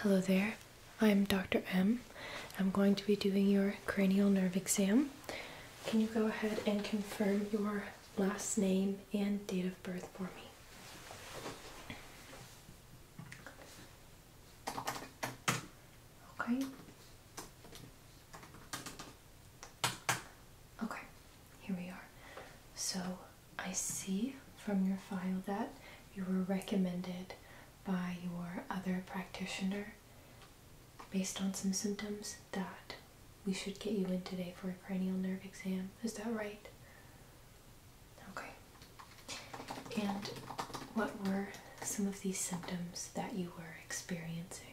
Hello there, I'm Dr. M. I'm going to be doing your cranial nerve exam. Can you go ahead and confirm your last name and date of birth for me? Okay, Okay, here we are. So I see from your file that you were recommended by your other practitioner based on some symptoms that we should get you in today for a cranial nerve exam. Is that right? Okay. And what were some of these symptoms that you were experiencing?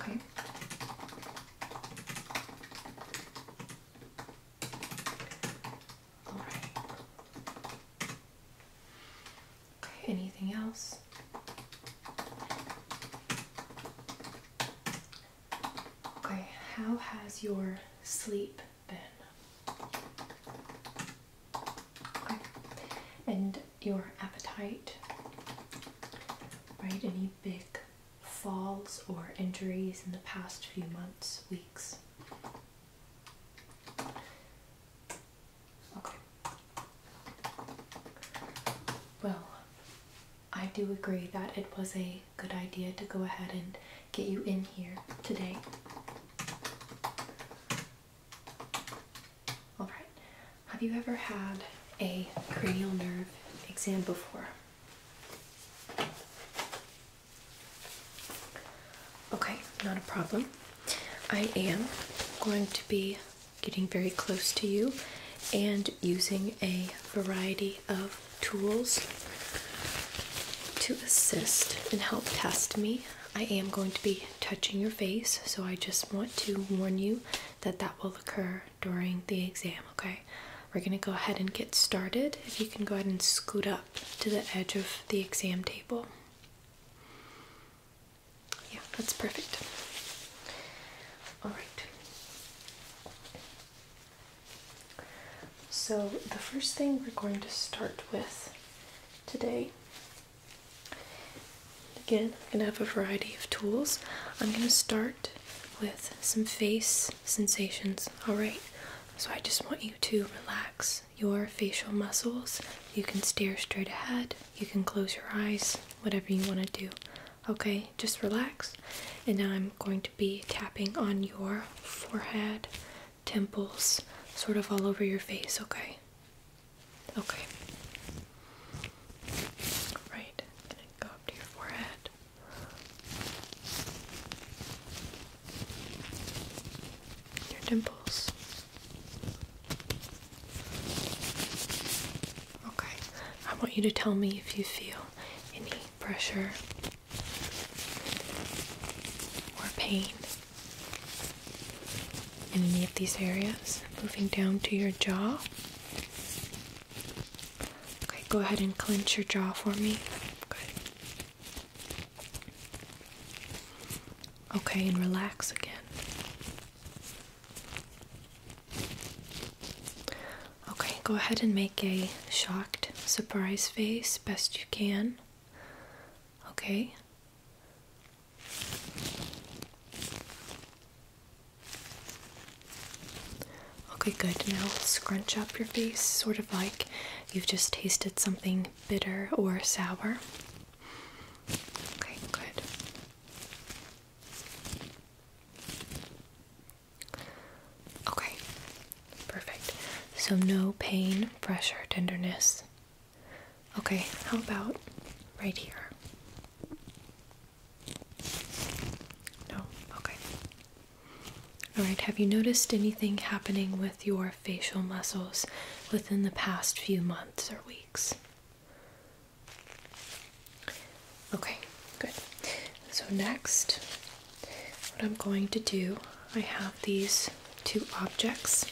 Okay. All right. Okay, anything else? Okay, how has your sleep been? And your appetite, right? Any big falls or injuries in the past few months, weeks? Okay. Well, I do agree that it was a good idea to go ahead and get you in here today. All right. Have you ever had a cranial nerve exam before? Okay, not a problem. I am going to be getting very close to you and using a variety of tools to assist and help test me I am going to be touching your face, so I just want to warn you that that will occur during the exam, okay? We're going to go ahead and get started. If you can go ahead and scoot up to the edge of the exam table. Yeah, that's perfect. All right. So, the first thing we're going to start with today Again, I'm going to have a variety of tools. I'm going to start with some face sensations, alright? So I just want you to relax your facial muscles. You can stare straight ahead, you can close your eyes, whatever you want to do. Okay, just relax. And now I'm going to be tapping on your forehead, temples, sort of all over your face, okay? Okay. Right. gonna go up to your forehead. Your dimples. Okay. I want you to tell me if you feel any pressure or pain in any of these areas. Moving down to your jaw. Okay, go ahead and clench your jaw for me. Good. Okay, and relax again. Okay, go ahead and make a shocked surprise face best you can. Okay. Okay, good. Now scrunch up your face, sort of like you've just tasted something bitter or sour. Okay, good. Okay, perfect. So, no pain, pressure, tenderness. Okay, how about right here? No, okay. Alright, have you noticed anything happening with your facial muscles within the past few months or weeks? Okay, good. So, next, what I'm going to do I have these two objects.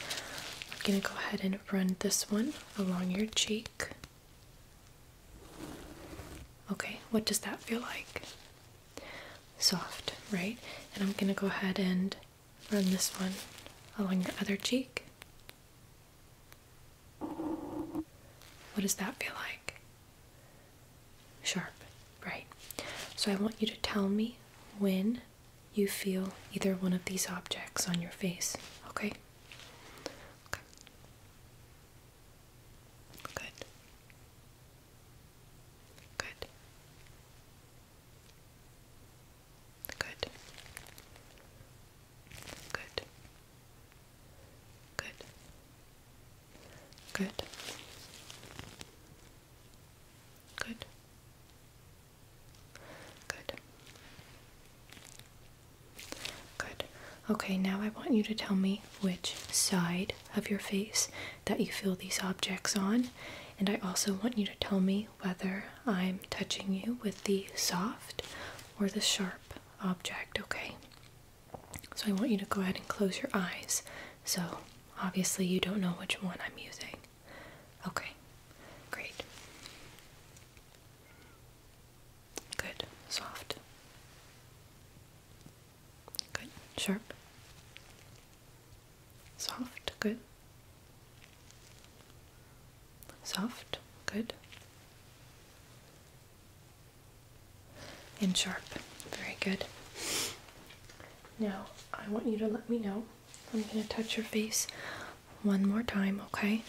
I'm going to go ahead and run this one along your cheek. Okay, what does that feel like? Soft, right? And I'm going to go ahead and run this one along your other cheek. What does that feel like? Sharp, right? So I want you to tell me when you feel either one of these objects on your face, okay? Good. Good. Good. Good. Good. Good. Good. Good. Good. Okay, now I want you to tell me which side of your face that you feel these objects on, and I also want you to tell me whether I'm touching you with the soft or the sharp object, okay? So I want you to go ahead and close your eyes so, obviously, you don't know which one I'm using. Okay, great. Good, soft. Good, sharp. Soft, good. Soft, good. And sharp, very good. Now, I want you to let me know. I'm going to touch your face one more time, okay?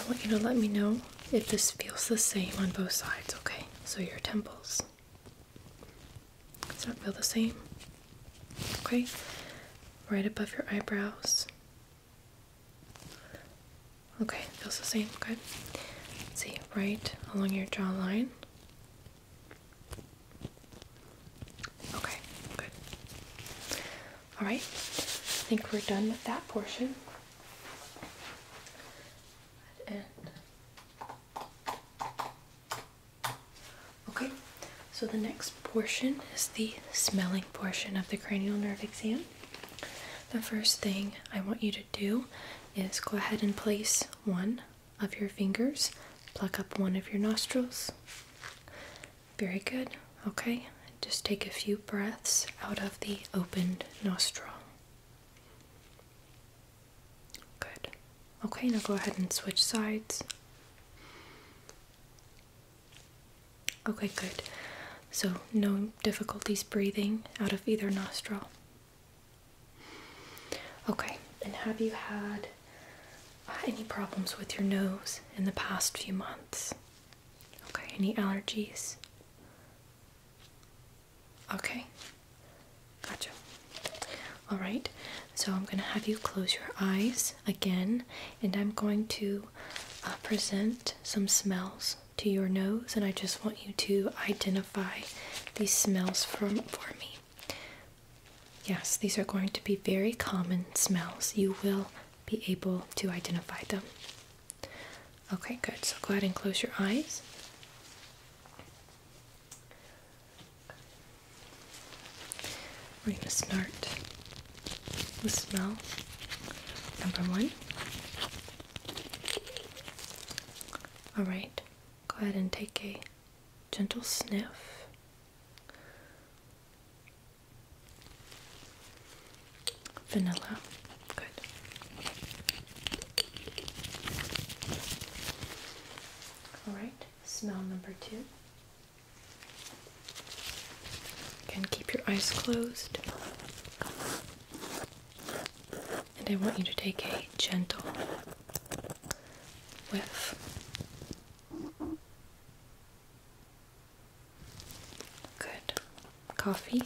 I want you to let me know if this feels the same on both sides, okay? So your temples. Does that feel the same? Okay? Right above your eyebrows. Okay, feels the same. Good. see, right along your jawline. Okay, good. Alright, I think we're done with that portion. And okay, so the next portion is the smelling portion of the cranial nerve exam. The first thing I want you to do is go ahead and place one of your fingers, pluck up one of your nostrils. Very good. Okay, just take a few breaths out of the opened nostril. Good. Okay, now go ahead and switch sides. Okay, good. So, no difficulties breathing out of either nostril. Okay, and have you had uh, any problems with your nose in the past few months? Okay, any allergies? Okay, gotcha. All right, so I'm going to have you close your eyes again, and I'm going to uh, present some smells to your nose, and I just want you to identify these smells from for me. Yes, these are going to be very common smells. You will be able to identify them. Okay, good. So go ahead and close your eyes. We're going to start the smell number one. All right, go ahead and take a gentle sniff. Vanilla. Good. All right, smell number two. Again, keep your eyes closed. And I want you to take a gentle with. Good. Coffee.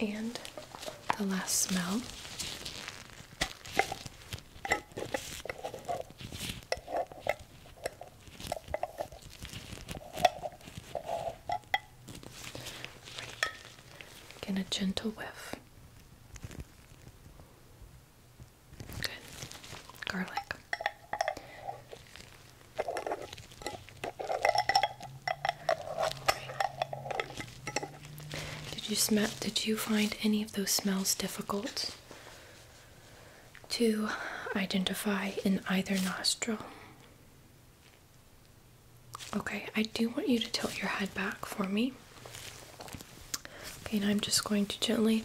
And the last smell. Right. a gentle whiff. Good. Garlic. Did you smell? Did you find any of those smells difficult? to identify in either nostril. Okay, I do want you to tilt your head back for me. Okay, now I'm just going to gently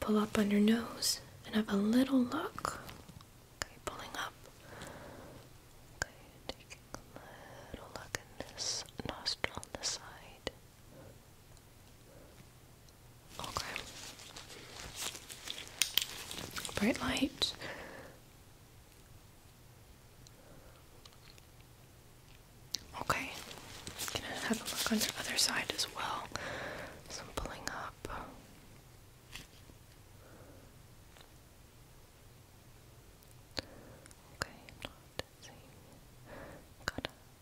pull up on your nose and have a little look. Okay, pulling up. Okay, taking a little look in this nostril on the side. Okay. Bright light. Okay. i gonna have a look on the other side as well. So I'm pulling up. Okay, i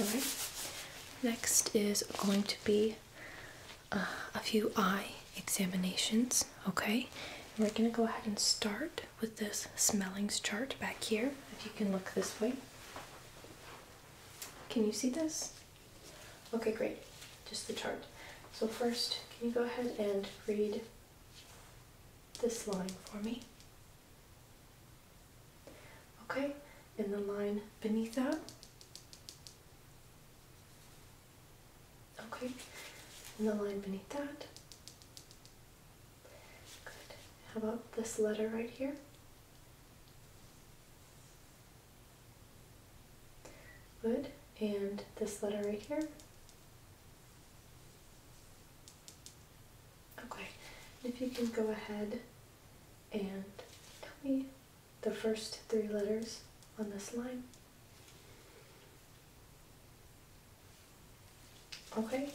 Alright, next is going to be uh, a few eye examinations. Okay, we're going to go ahead and start with this smellings chart back here. If you can look this way, can you see this? Okay, great, just the chart. So, first, can you go ahead and read this line for me? Okay, and the line beneath that. Okay, and the line beneath that. Good. How about this letter right here? Good. And this letter right here? Okay, if you can go ahead and tell me the first three letters on this line. Okay,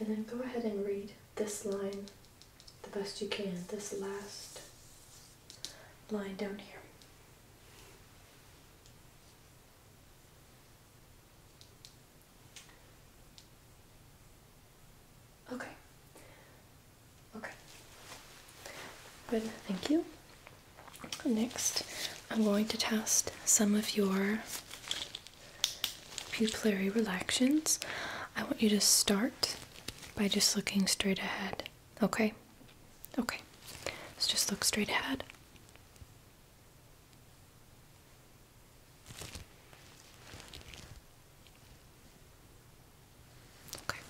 and then go ahead and read this line the best you can, this last line down here. Okay, Okay. Good, thank you. Next, I'm going to test some of your pupillary relaxions. I want you to start by just looking straight ahead. Okay? Okay. Let's just look straight ahead. Okay.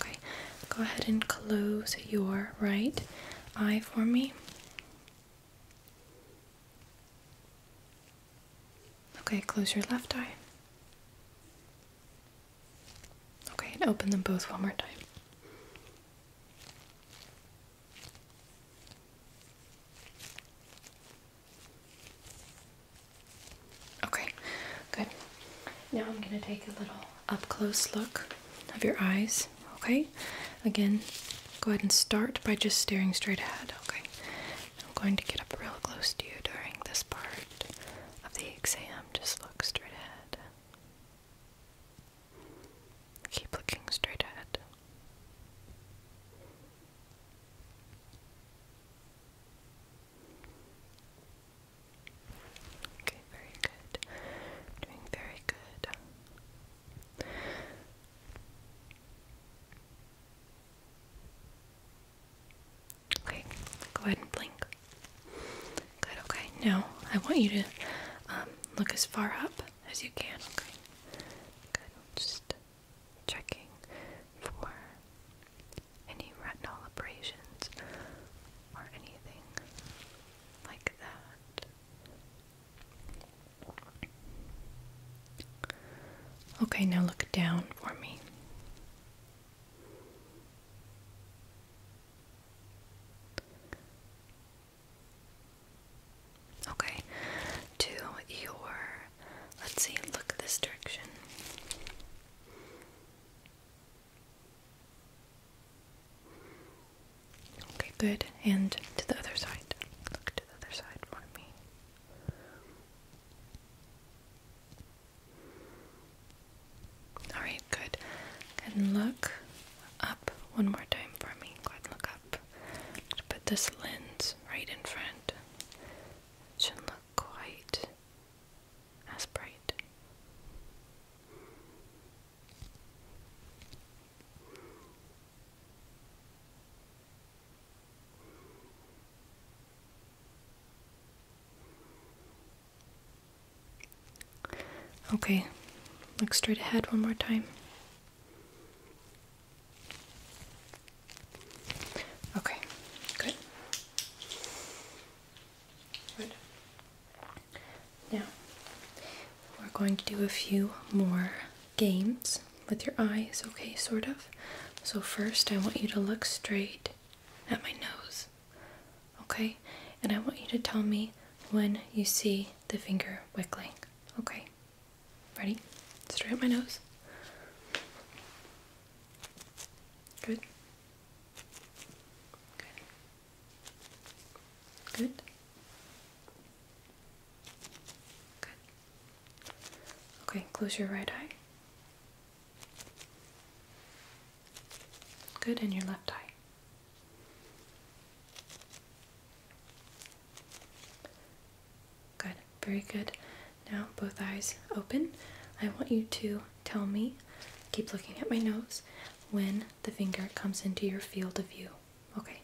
Okay, go ahead and close your right eye for me. Okay, close your left eye. Okay, and open them both one more time. Okay, good. Now I'm going to take a little up close look of your eyes. Okay, again, go ahead and start by just staring straight ahead. Okay, I'm going to get up real close to you during this part of the exam. Just look straight ahead. Keep looking straight ahead. Okay, very good. Doing very good. Okay, go ahead and blink. Good, okay. Now I want you to um, look as far up as you can, okay? Good, just checking for any retinal abrasions or anything like that. Okay, now look down for me. Okay, to your, let's see, look this direction. Okay, good. And to the other side. Look to the other side for all right, good. and look up one more time for me. Go ahead and look up. put this lens right in front. It shouldn't look quite as bright. Okay, look straight ahead one more time. Okay, good. Good. Now, we're going to do a few more games with your eyes, okay, sort of. So, first, I want you to look straight at my nose. Okay? And I want you to tell me when you see the finger wiggling. Okay? Ready? Straight up my nose. Good. Good. Good. Good. Okay, close your right eye. Good, and your left eye. Good, very good. Now, both eyes open. I want you to tell me, keep looking at my nose, when the finger comes into your field of view. Okay.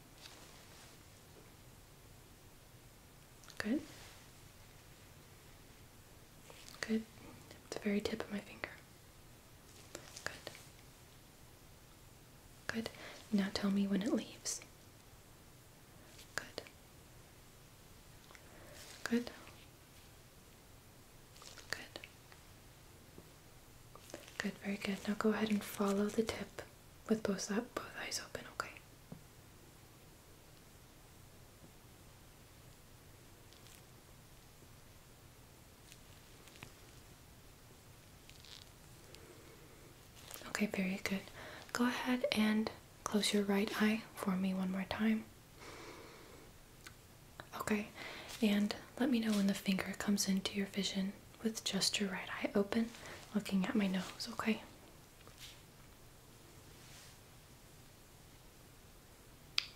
Good. Good. The very tip of my finger. Good. Good. Now tell me when it leaves. Good. Good. Good. Good, very good. Now go ahead and follow the tip with both, up, both eyes open, okay? Okay, very good. Go ahead and close your right eye for me one more time. Okay, and let me know when the finger comes into your vision with just your right eye open, looking at my nose, okay?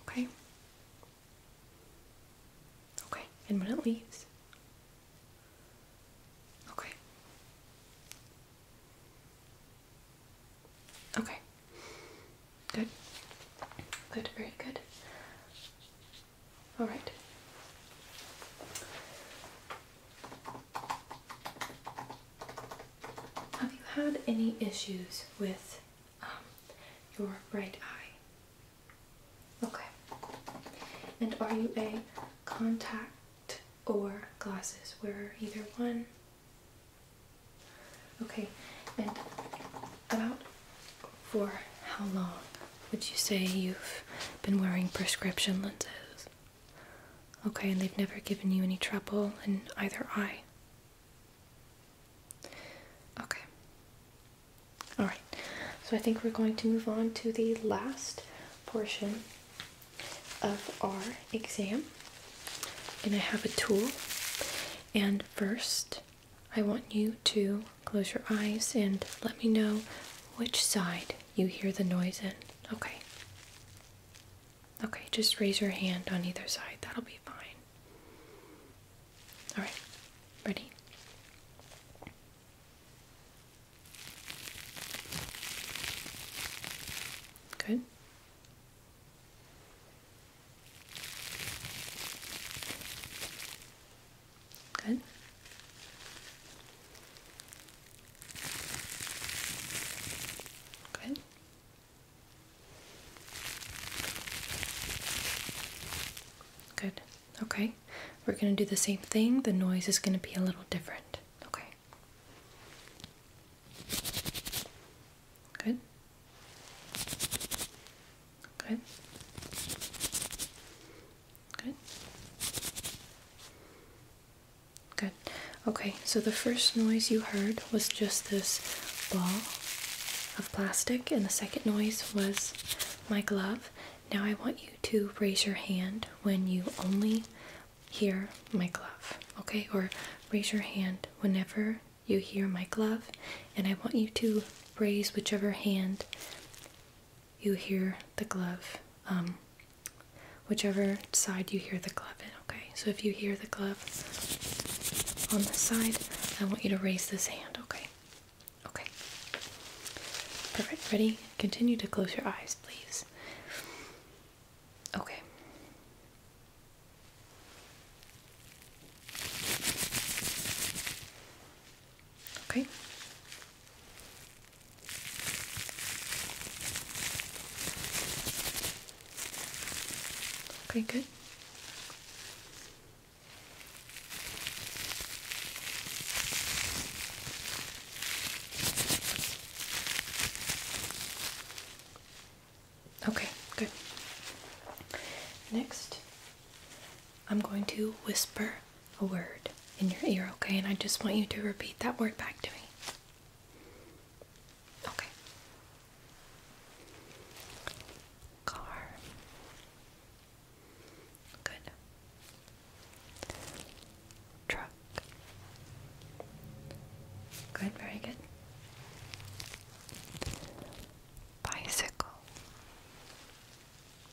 Okay. Okay, and when it leaves. Okay. Okay. Good. Good, very good. All right. Have you had any issues with um, your right eye. Okay. And are you a contact or glasses wearer? Either one? Okay. And about for how long would you say you've been wearing prescription lenses? Okay, and they've never given you any trouble in either eye? Okay. All right. So I think we're going to move on to the last portion of our exam. And I have a tool. And first, I want you to close your eyes and let me know which side you hear the noise in. Okay. Okay, just raise your hand on either side. That'll be fine. All right, ready? Good. Good. Good. Good. Okay. We're going to do the same thing. The noise is going to be a little different. Okay. Good. Good. Good. Good. Okay, so the first noise you heard was just this ball of plastic, and the second noise was my glove. Now I want you to raise your hand when you only hear my glove, okay? Or raise your hand whenever you hear my glove, and I want you to raise whichever hand you hear the glove, um, whichever side you hear the glove in, okay? So if you hear the glove, on this side. I want you to raise this hand, okay? Okay. Perfect. Ready? Continue to close your eyes, please. Okay. Okay. Okay, good. Okay, good. Next, I'm going to whisper a word in your ear, okay? And I just want you to repeat that word back to me. Okay. Car. Good. Truck. Good, very good. Bicycle.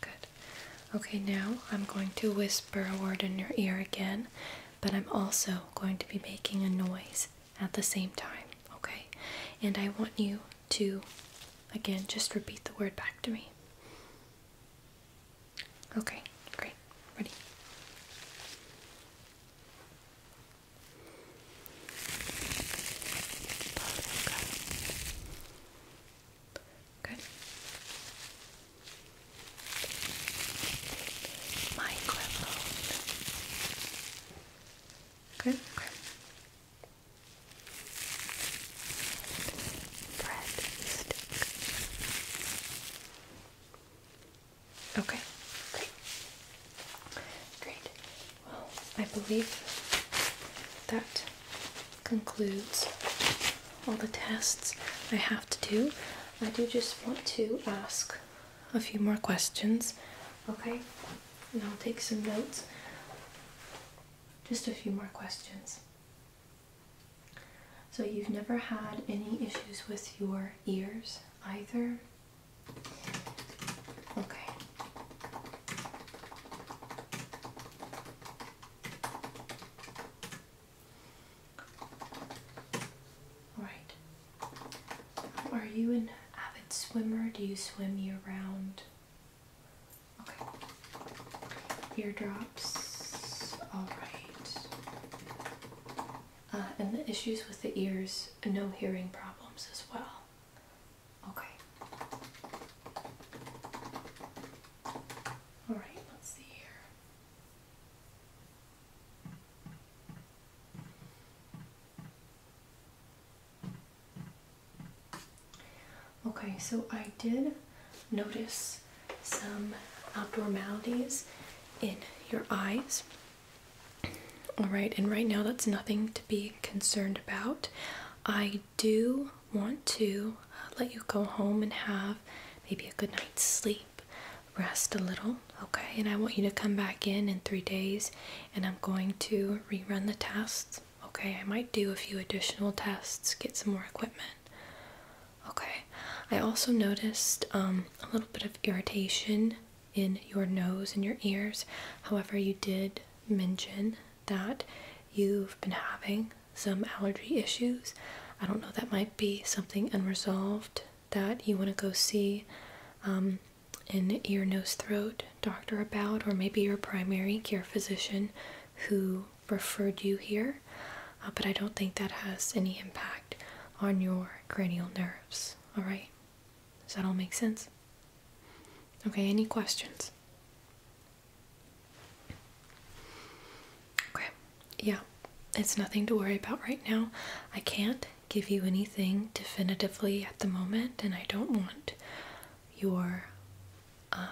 Good. Okay, now I'm going to whisper a word in your ear again, but I'm also going to be making a noise at the same time, okay? And I want you to, again, just repeat the word back to me. Okay, great. Ready? Good. Microphone. Good. Okay. Okay. Great. Great. Well, I believe that concludes all the tests I have to do. I do just want to ask a few more questions. Okay and I'll take some notes. Just a few more questions. So, you've never had any issues with your ears either? Okay. All right. Are you an avid swimmer? Do you swim year round? Ear drops. Alright. Uh, and the issues with the ears, no hearing problems as well. Okay. Alright, let's see here. Okay, so I did notice some abnormalities in your eyes. All right, and right now that's nothing to be concerned about. I do want to let you go home and have maybe a good night's sleep, rest a little okay? And I want you to come back in in three days and I'm going to rerun the tests, okay? I might do a few additional tests, get some more equipment, okay? I also noticed um, a little bit of irritation in your nose and your ears. However, you did mention that you've been having some allergy issues. I don't know, that might be something unresolved that you want to go see um, an ear, nose, throat doctor about, or maybe your primary care physician who referred you here, uh, but I don't think that has any impact on your cranial nerves. All right, does that all make sense? Okay, any questions? Okay, yeah, it's nothing to worry about right now. I can't give you anything definitively at the moment, and I don't want your um,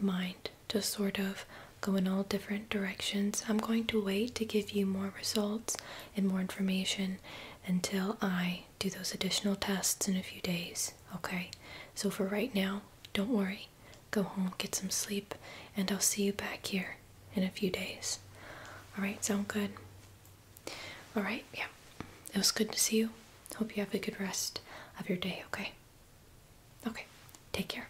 mind to sort of go in all different directions. I'm going to wait to give you more results and more information until I do those additional tests in a few days, okay? So for right now, don't worry. Go home, get some sleep, and I'll see you back here in a few days. Alright, sound good? All right, yeah. It was good to see you. Hope you have a good rest of your day, okay? Okay, take care.